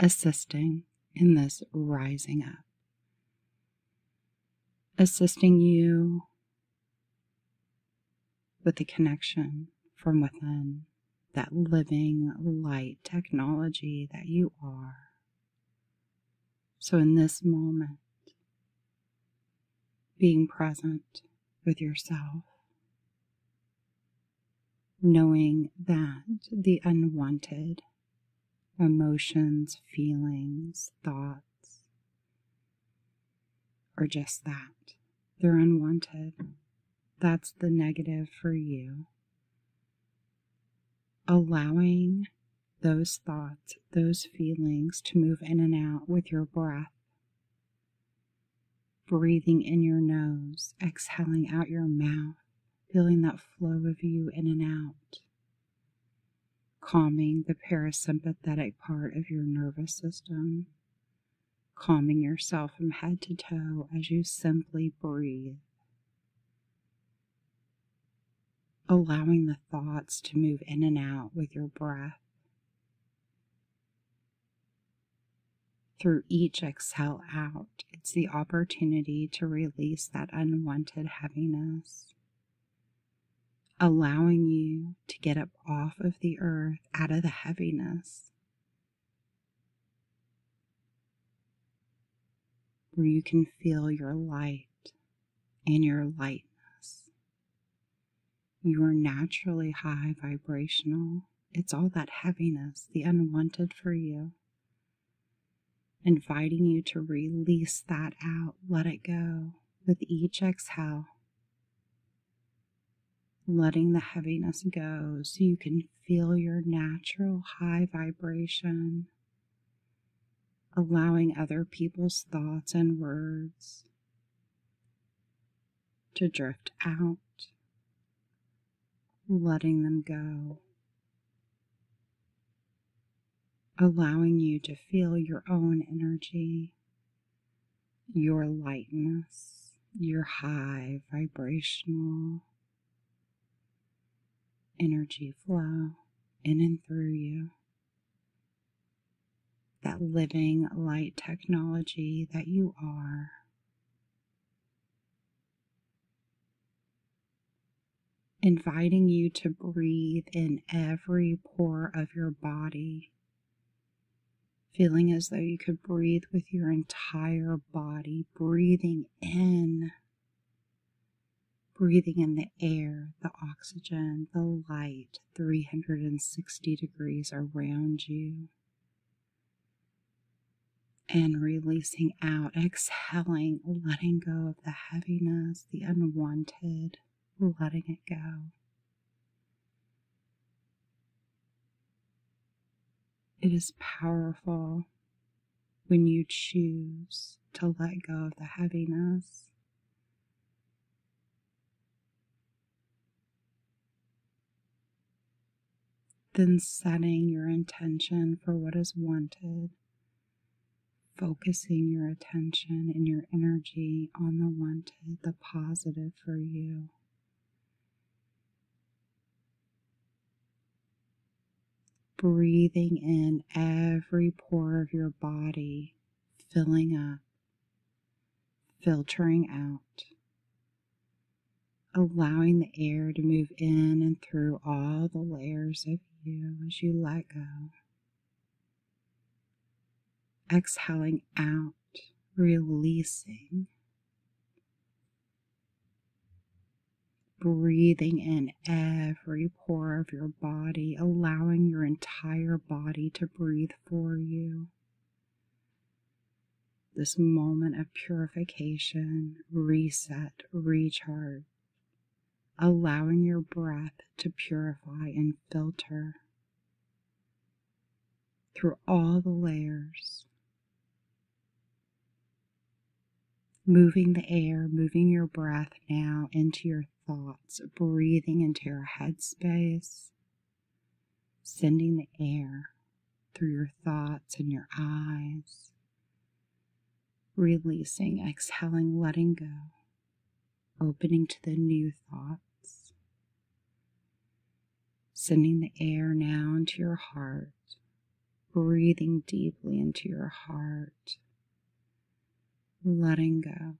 assisting in this rising up, assisting you with the connection from within, that living light technology that you are. So, in this moment, being present with yourself knowing that the unwanted emotions, feelings, thoughts are just that. They're unwanted. That's the negative for you. Allowing those thoughts, those feelings to move in and out with your breath. Breathing in your nose, exhaling out your mouth feeling that flow of you in and out, calming the parasympathetic part of your nervous system, calming yourself from head to toe as you simply breathe. Allowing the thoughts to move in and out with your breath through each exhale out. It's the opportunity to release that unwanted heaviness, allowing you to get up off of the earth, out of the heaviness. Where you can feel your light and your lightness. You are naturally high vibrational. It's all that heaviness, the unwanted for you inviting you to release that out, let it go with each exhale, letting the heaviness go so you can feel your natural high vibration, allowing other people's thoughts and words to drift out letting them go, allowing you to feel your own energy, your lightness, your high vibrational energy flow in and through you. That living light technology that you are inviting you to breathe in every pore of your body, feeling as though you could breathe with your entire body, breathing in, breathing in the air, the oxygen, the light 360 degrees around you and releasing out, exhaling, letting go of the heaviness, the unwanted, letting it go. It is powerful when you choose to let go of the heaviness. Then setting your intention for what is wanted, focusing your attention and your energy on the wanted, the positive for you. Breathing in every pore of your body, filling up, filtering out allowing the air to move in and through all the layers of you as you let go. Exhaling out, releasing. Breathing in every pore of your body, allowing your entire body to breathe for you this moment of purification, reset, recharge, allowing your breath to purify and filter through all the layers. Moving the air, moving your breath now into your thoughts, breathing into your headspace, sending the air through your thoughts and your eyes, releasing, exhaling, letting go, opening to the new thoughts, sending the air now into your heart, breathing deeply into your heart, letting go,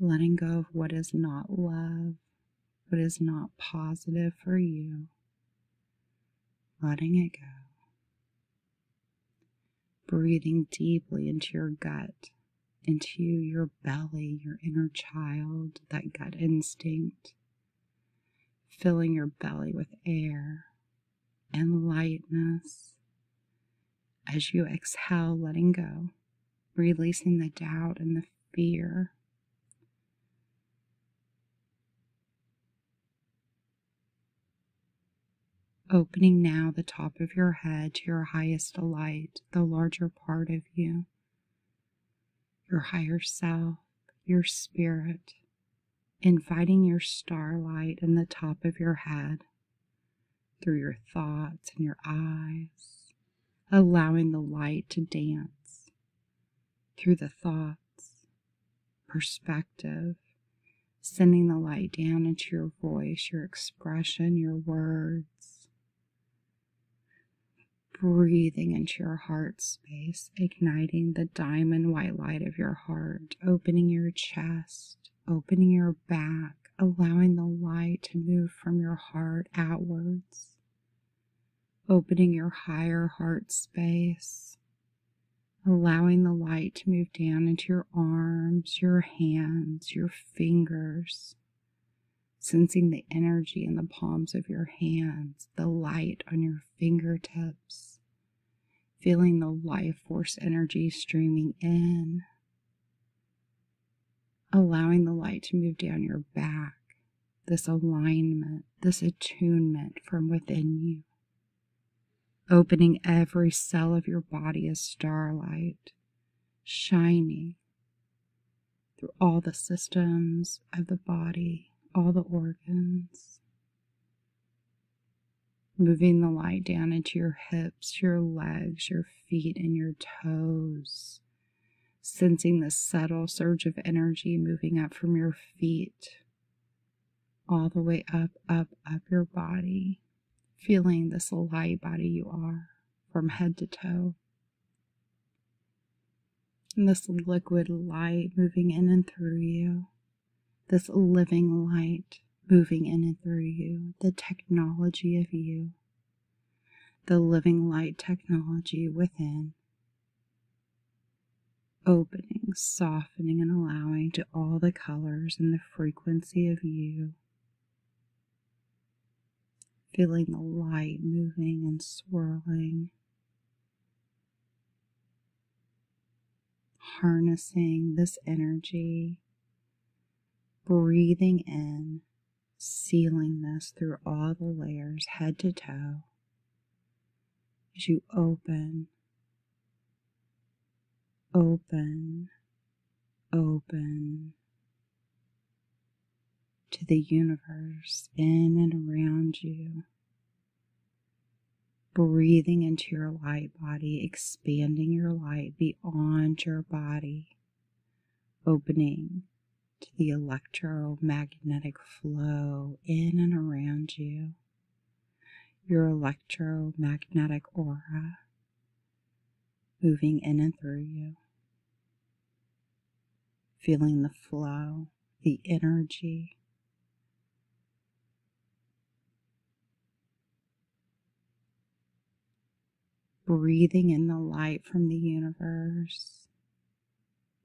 letting go of what is not love, what is not positive for you letting it go. Breathing deeply into your gut, into your belly, your inner child, that gut instinct. Filling your belly with air and lightness. As you exhale, letting go, releasing the doubt and the fear. Opening now the top of your head to your highest delight, the larger part of you, your higher self, your spirit, inviting your starlight in the top of your head through your thoughts and your eyes, allowing the light to dance through the thoughts, perspective, sending the light down into your voice, your expression, your words, breathing into your heart space, igniting the diamond white light of your heart, opening your chest, opening your back, allowing the light to move from your heart outwards opening your higher heart space, allowing the light to move down into your arms, your hands, your fingers, sensing the energy in the palms of your hands, the light on your fingertips, feeling the life force energy streaming in, allowing the light to move down your back this alignment, this attunement from within you, opening every cell of your body as starlight, shining through all the systems of the body, all the organs. Moving the light down into your hips, your legs, your feet, and your toes. Sensing the subtle surge of energy moving up from your feet all the way up, up, up your body, feeling this light body you are from head to toe. And this liquid light moving in and through you, this living light moving in and through you, the technology of you, the living light technology within opening, softening, and allowing to all the colors and the frequency of you. Feeling the light moving and swirling. Harnessing this energy, breathing in, sealing this through all the layers, head to toe as you open, open, open to the universe in and around you. Breathing into your light body, expanding your light beyond your body, opening to the electromagnetic flow in and around you, your electromagnetic aura moving in and through you, feeling the flow, the energy. Breathing in the light from the universe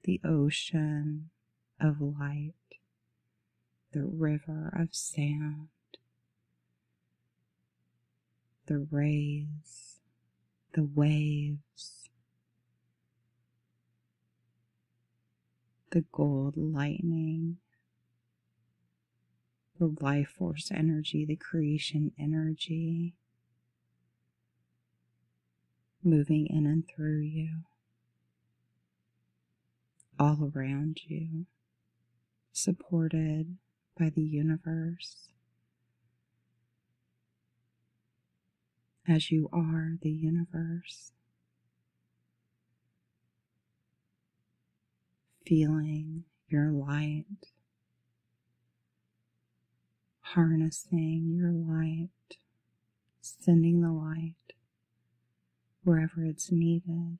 the ocean of light, the river of sound, the rays, the waves, the gold lightning, the life force energy, the creation energy, moving in and through you, all around you, supported by the universe. As you are the universe, feeling your light harnessing your light, sending the light wherever it's needed,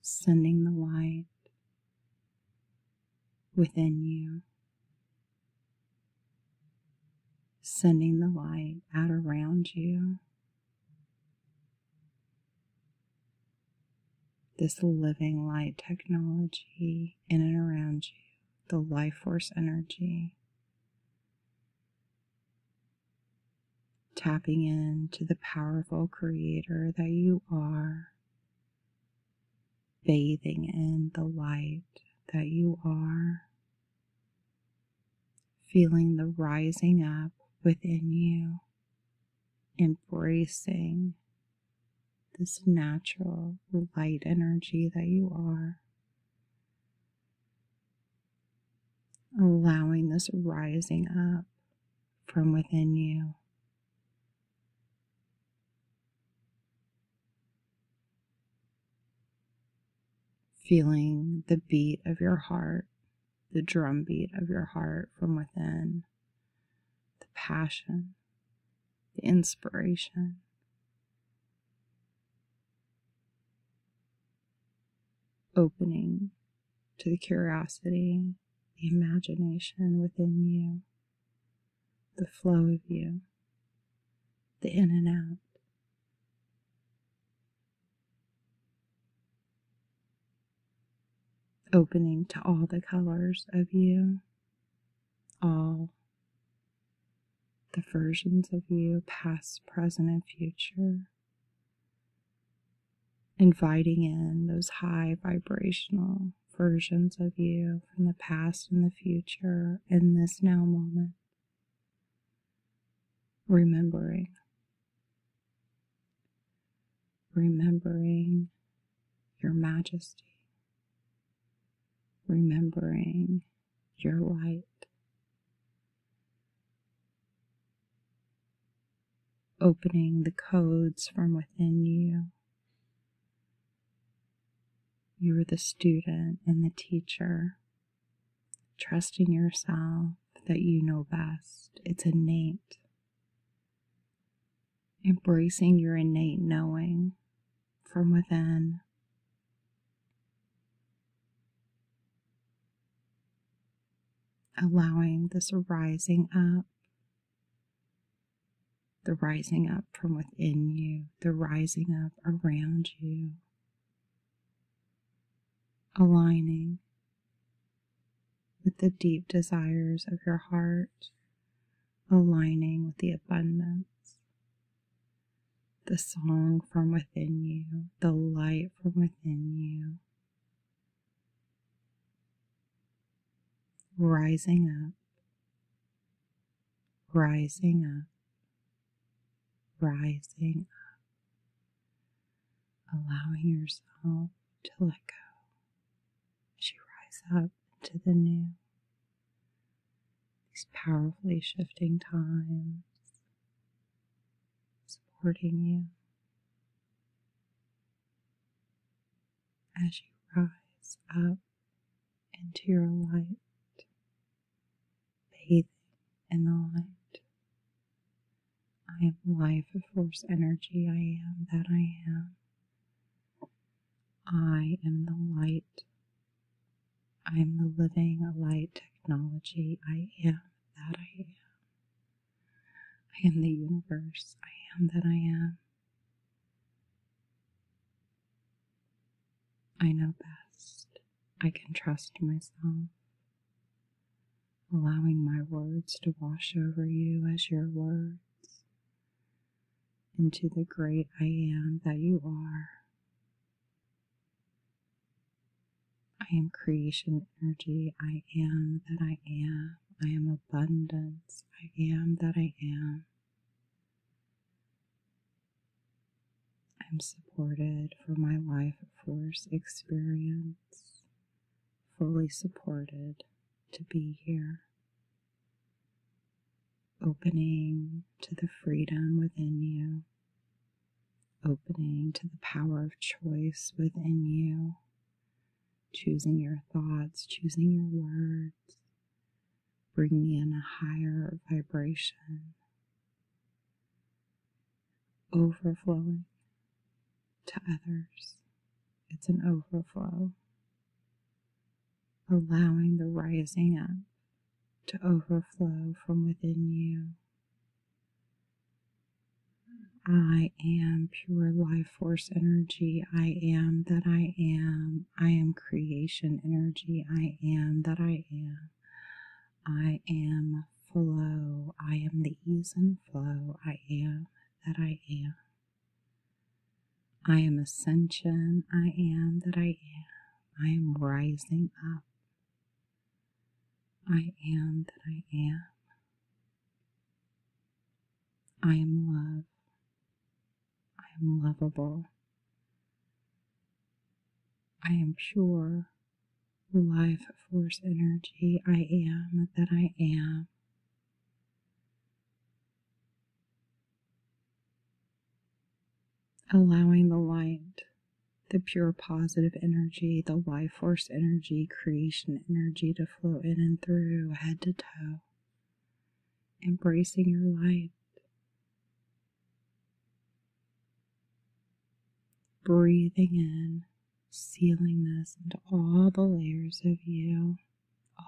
sending the light within you, sending the light out around you. This living light technology in and around you, the life force energy Tapping into the powerful creator that you are, bathing in the light that you are, feeling the rising up within you, embracing this natural light energy that you are allowing this rising up from within you. Feeling the beat of your heart, the drum beat of your heart from within, the passion, the inspiration, opening to the curiosity, the imagination within you, the flow of you, the in and out. Opening to all the colors of you, all the versions of you, past, present, and future, inviting in those high vibrational versions of you from the past and the future in this now moment, remembering. Remembering your majesty, remembering your light, Opening the codes from within you. You're the student and the teacher, trusting yourself that you know best. It's innate. Embracing your innate knowing from within. Allowing this rising up, the rising up from within you, the rising up around you, aligning with the deep desires of your heart, aligning with the abundance the song from within you, the light from within you, rising up, rising up, rising up, allowing yourself to let go as you rise up into the new these powerfully shifting times supporting you as you rise up into your light, bathing in the light. I am life force energy, I am that I am. I am the light. I am the living light technology. I am that I am. I am the universe. I am that I am. I know best. I can trust myself. Allowing my words to wash over you as your words, into the great I am that you are. I am creation energy. I am that I am. I am abundance. I am that I am. I'm supported for my life force experience, fully supported to be here opening to the freedom within you, opening to the power of choice within you, choosing your thoughts, choosing your words, Bring me in a higher vibration, overflowing to others. It's an overflow allowing the rising up to overflow from within you. I am pure life force energy. I am that I am. I am creation energy. I am that I am. I am flow. I am the ease and flow. I am that I am. I am ascension. I am that I am. I am rising up. I am that I am. I am love. I am lovable. I am pure life force energy. I am that I am allowing the light, the pure positive energy, the life force energy, creation energy to flow in and through head to toe, embracing your light. Breathing in, sealing this into all the layers of you,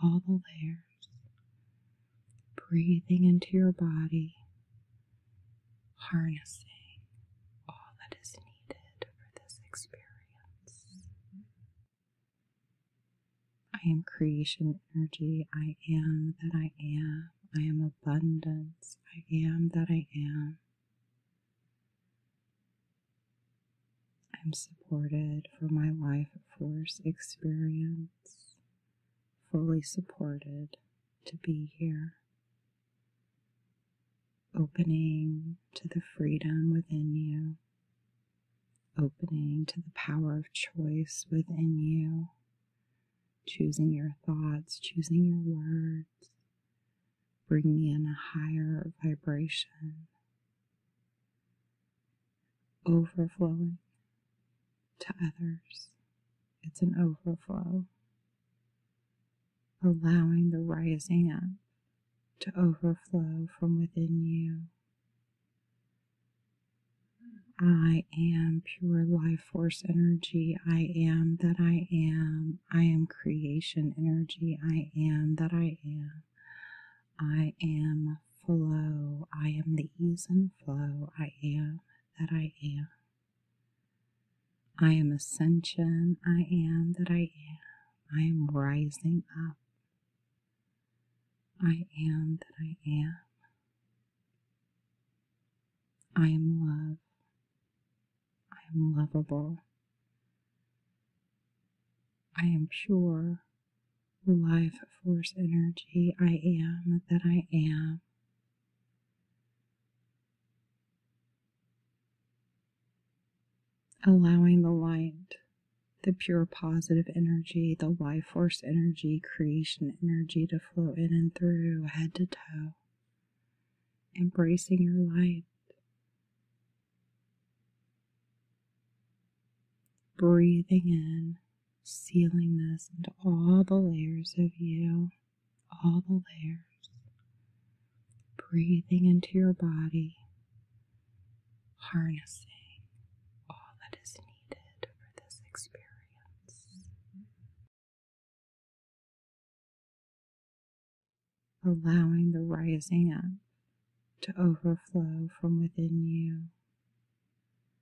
all the layers breathing into your body, harnessing all that is needed for this experience. I am creation energy. I am that I am. I am abundance. I am that I am. I'm supported for my life force experience fully supported to be here, opening to the freedom within you, opening to the power of choice within you, choosing your thoughts, choosing your words, Bring me in a higher vibration overflowing to others. It's an overflow. Allowing the rising up to overflow from within you. I am pure life force energy. I am that I am. I am creation energy. I am that I am. I am flow. I am the ease and flow. I am that I am. I am ascension. I am that I am. I am rising up. I am that I am. I am love. I am lovable. I am pure life force energy I am that I am. Allowing the light, the pure positive energy, the life force energy, creation energy to flow in and through head to toe. Embracing your light breathing in, sealing this into all the layers of you, all the layers, breathing into your body, harnessing all that is needed for this experience. Allowing the rising up to overflow from within you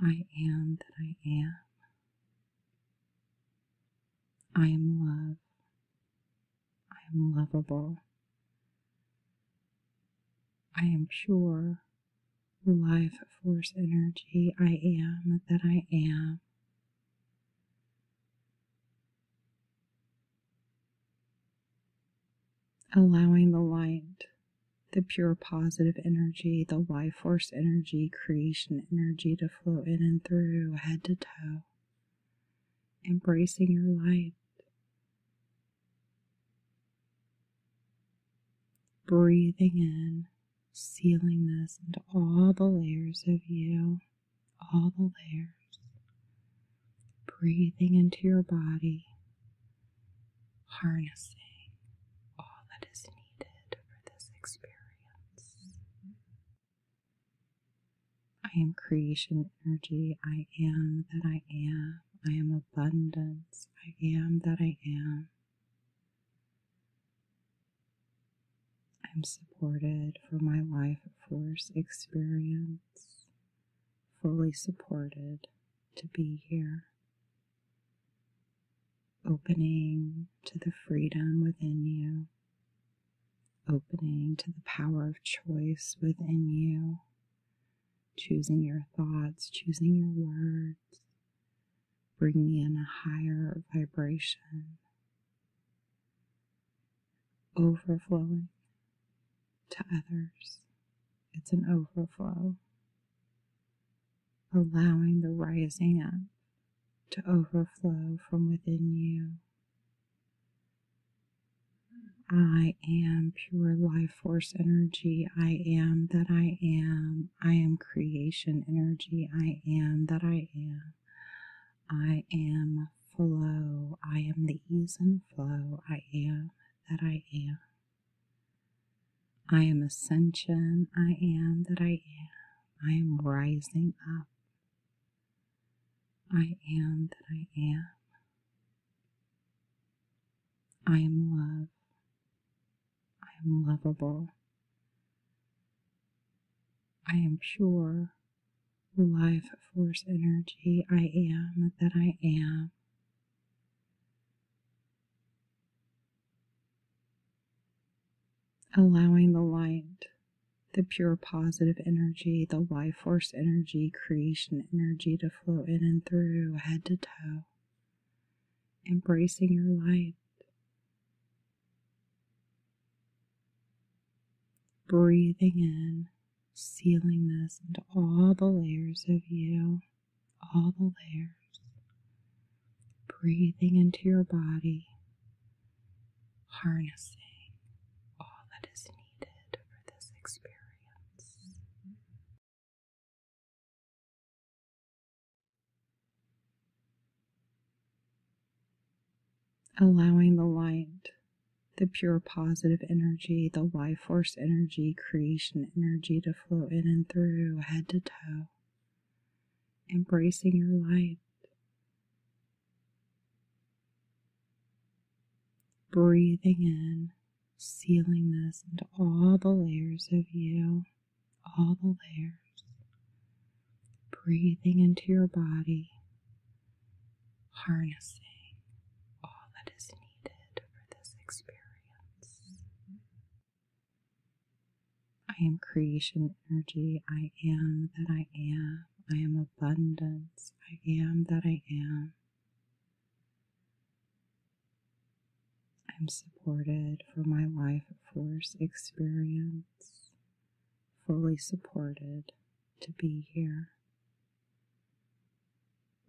I am that I am. I am love. I am lovable. I am pure life force energy. I am that I am. Allowing the light the pure positive energy, the life force energy, creation energy to flow in and through head to toe, embracing your light. Breathing in, sealing this into all the layers of you, all the layers. Breathing into your body, harnessing all that is needed for this experience. I am creation energy. I am that I am. I am abundance. I am that I am. I'm supported for my life force experience, fully supported to be here opening to the freedom within you, opening to the power of choice within you, choosing your thoughts, choosing your words, bringing in a higher vibration, overflowing to others. It's an overflow allowing the rising up to overflow from within you. I am pure life force energy. I am that I am. I am creation energy. I am that I am. I am flow. I am the ease and flow. I am that I am. I am ascension. I am that I am. I am rising up. I am that I am. I am love. I am lovable. I am pure life force energy. I am that I am. Allowing the light, the pure positive energy, the life force energy, creation energy to flow in and through head to toe. Embracing your light. Breathing in, sealing this into all the layers of you all the layers, breathing into your body, harnessing all that is needed for this experience. Allowing the light the pure positive energy, the life force energy, creation energy to flow in and through head to toe, embracing your light. Breathing in, sealing this into all the layers of you, all the layers. Breathing into your body, harnessing all that is needed for this experience. I am creation energy. I am that I am. I am abundance. I am that I am. I'm supported for my life force experience, fully supported to be here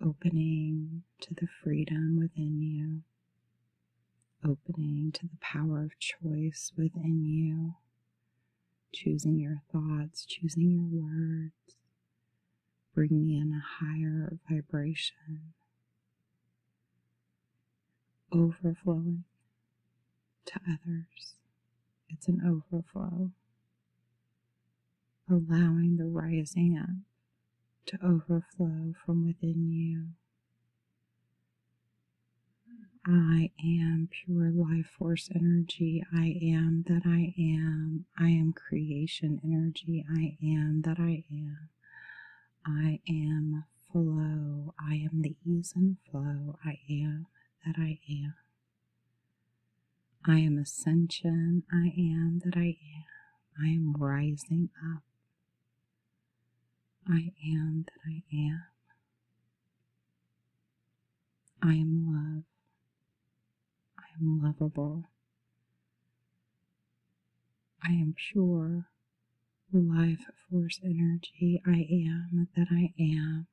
opening to the freedom within you, opening to the power of choice within you, choosing your thoughts, choosing your words, bringing in a higher vibration, overflowing to others. It's an overflow, allowing the rising up to overflow from within you. I am pure life force energy. I am that I am. I am creation energy. I am that I am. I am flow. I am the ease and flow. I am that I am. I am ascension. I am that I am. I am rising up. I am that I am. I am love. I am lovable. I am pure life force energy. I am that I am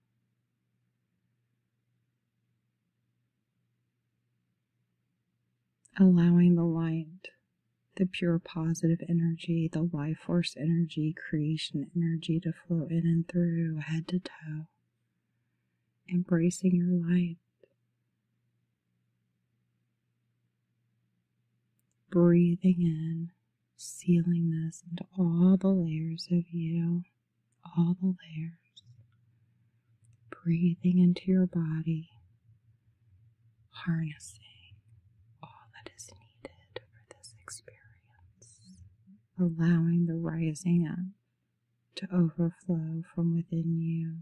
allowing the light, the pure positive energy, the life force energy, creation energy to flow in and through head to toe, embracing your light. Breathing in, sealing this into all the layers of you, all the layers. Breathing into your body, harnessing all that is needed for this experience, allowing the rising up to overflow from within you.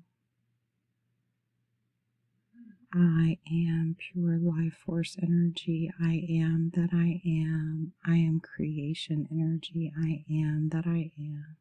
I am pure life force energy. I am that I am. I am creation energy. I am that I am.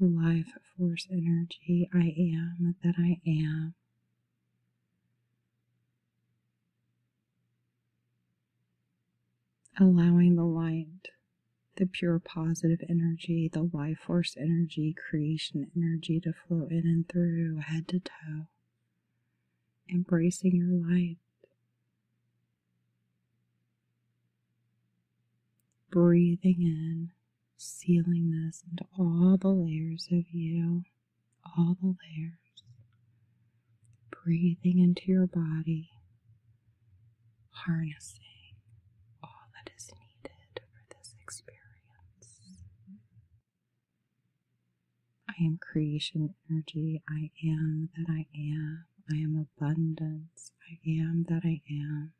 life force energy I am that I am. Allowing the light, the pure positive energy, the life force energy, creation energy to flow in and through head to toe. Embracing your light. Breathing in, sealing this into all the layers of you, all the layers. Breathing into your body, harnessing all that is needed for this experience. I am creation energy. I am that I am. I am abundance. I am that I am.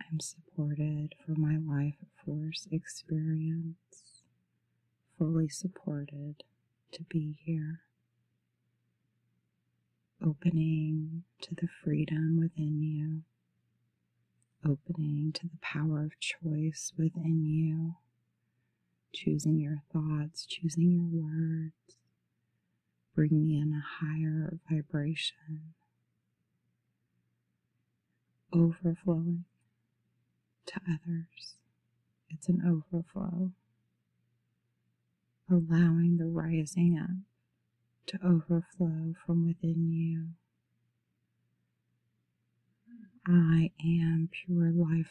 I'm supported for my life force experience, fully supported to be here, opening to the freedom within you, opening to the power of choice within you choosing your thoughts, choosing your words, bringing in a higher vibration, overflowing to others. It's an overflow, allowing the rising up to overflow from within you. I am pure life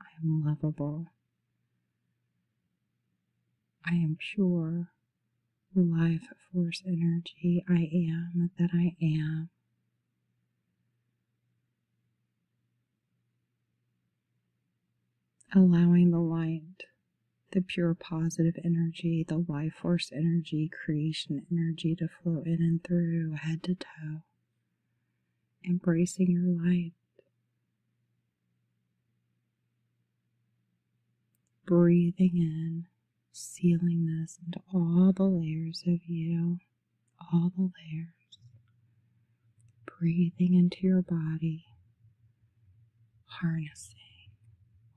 I am lovable. I am pure life force energy. I am that I am. Allowing the light, the pure positive energy, the life force energy, creation energy to flow in and through head to toe embracing your light. Breathing in, sealing this into all the layers of you, all the layers. Breathing into your body, harnessing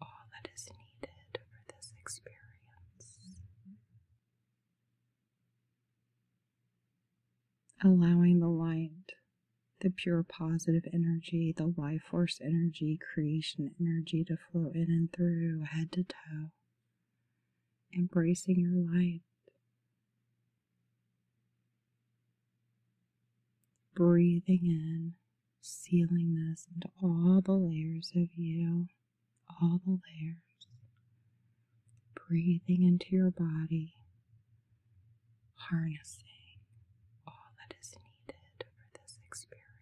all that is needed for this experience. Allowing the light, the pure positive energy, the life force energy, creation energy to flow in and through head to toe. Embracing your light. Breathing in, sealing this into all the layers of you all the layers, breathing into your body, harnessing all that is needed for this experience.